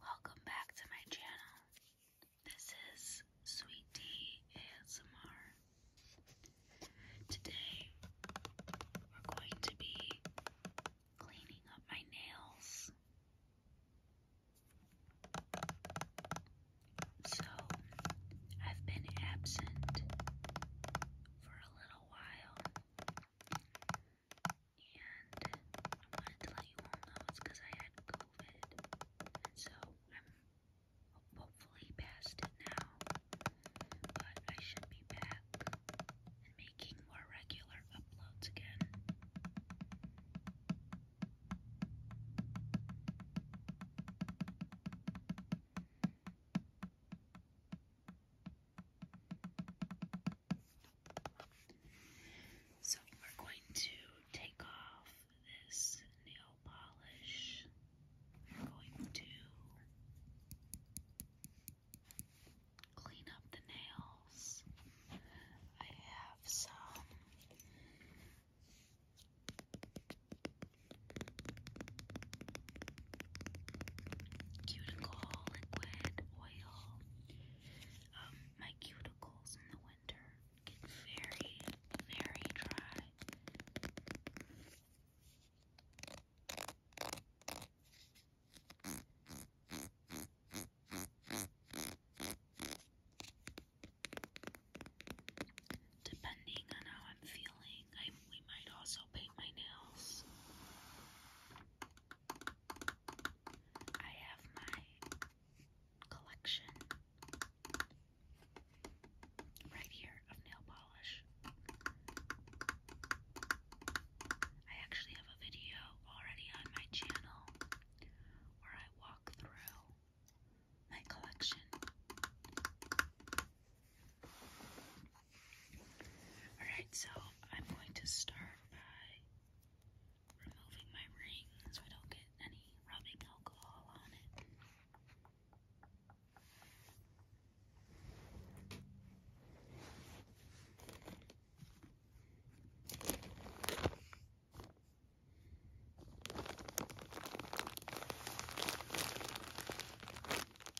Welcome back to my channel. This is Sweet Tea ASMR. Today we're going to be cleaning up my nails. So, I've been absent for a little while, and I wanted to let you all know it's because I had COVID. And so I'm hopefully past it now. But I should be back and making more regular uploads again. So we're going to take off this nail polish. We're going to clean up the nails. I have some cuticle liquid oil. Um, my cuticles in the winter get very, very dry. Depending on how I'm feeling, I we might also paint my nails. I have my collection right here of nail polish. I actually have a video already on my channel where I walk through my collection Alright, so I'm going to start by removing my ring so I don't get any rubbing alcohol on it.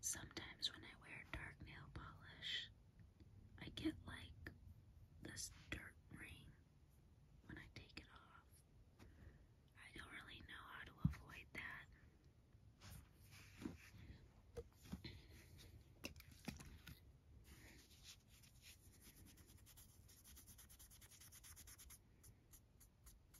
Sometimes when I wear dark nail polish, I get like this dirt ring when I take it off. I don't really know how to avoid that.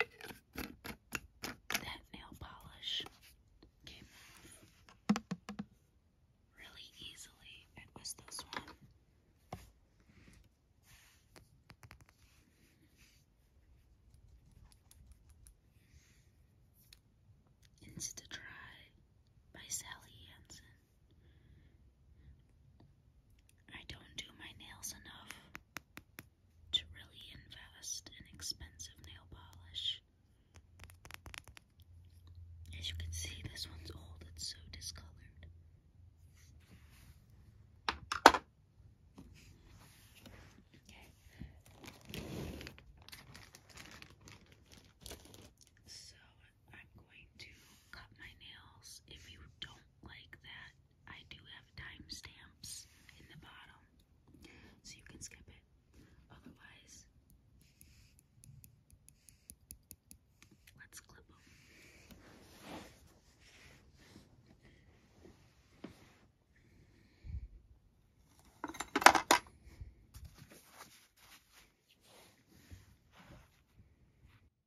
Okay. That nail polish came off really easily. It was this one. Insta Dry by Sally Hansen. I don't do my nails enough to really invest in expensive nail polish. As you can see, this one's old, it's so discolored. Okay. So I'm going to cut my nails. If you don't like that, I do have timestamps in the bottom, so you can skip it. Otherwise, let's clip them.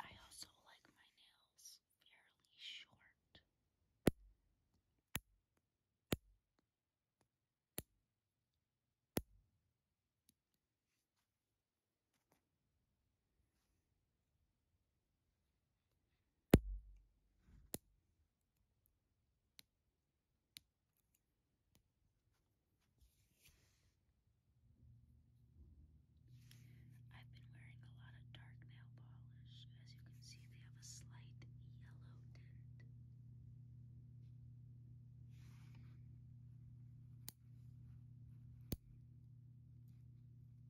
I also like my nails fairly short. I've been wearing a lot of dark nail polish. As you can see, they have a slight yellow tint.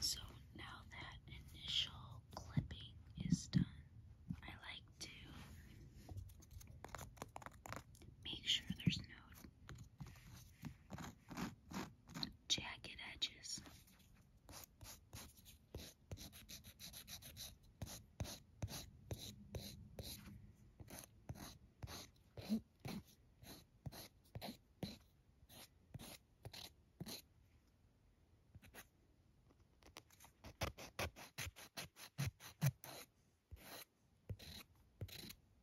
So now that initial clipping is done, I like to make sure there's no jagged edges.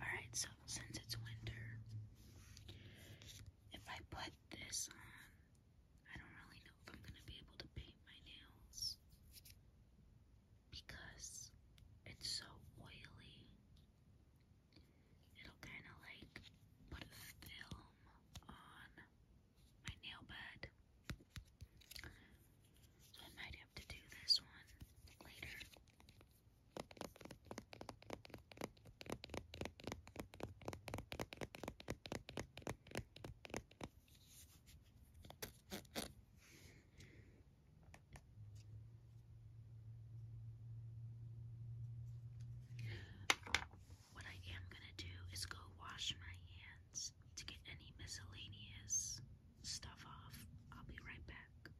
Alright, so since it's winter, if I put this on, I don't really know if I'm going to be able to paint my nails because it's so oily. It'll kind of like put a film on my nail bed. I might have to do this one later. What I am going to do is go wash my hands to get any miscellaneous stuff off. I'll be right back.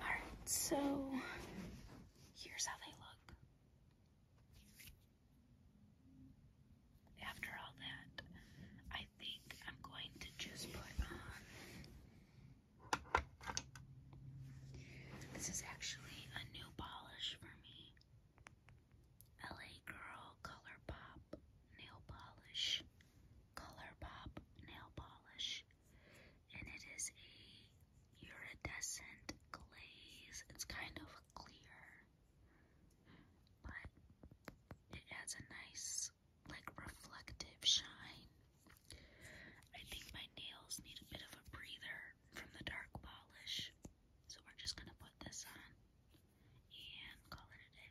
Alright, so here's how they look. After all that, I think I'm going to just put on this is actually a new polish for me. LA Girl Color Pop Nail Polish. Color Pop Nail Polish. And it is a iridescent glaze. It's kind of clear, but it adds a nice like reflective shine. I think my nails need a bit of a breather from the dark polish, so we're just gonna put this on and call it a day.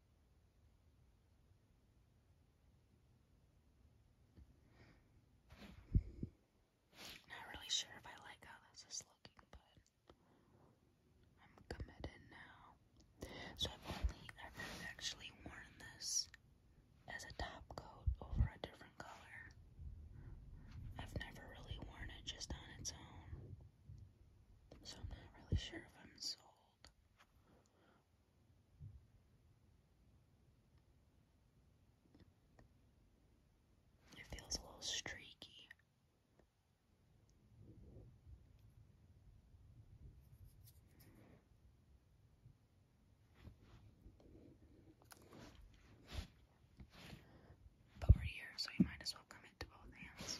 Not really sure if I like how this is looking, but I'm committed now. So I've only ever actually worn this as a top coat over a different color. I've never really worn it just on its own. So I'm not really sure if I'm sold. It feels a little streaky. But we're here, so you might as well commit to both hands.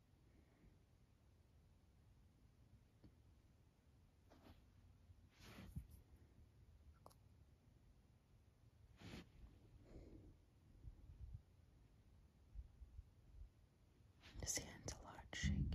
This hand's a lot shakier.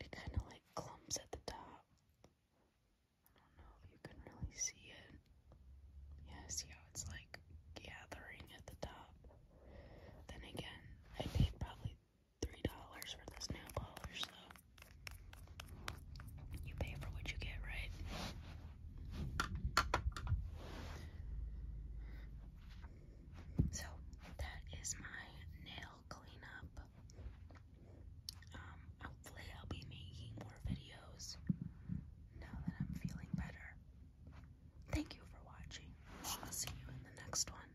It kind of like clumps at the top. I don't know if you can really see it. Yeah, see how it's like gathering at the top. Then again, I paid probably three dollars for this nail polish, so you pay for what you get, right? So that is my nail cleanup. Um, hopefully I'll be making more videos now that I'm feeling better. Thank you for watching. I'll see you in the next one.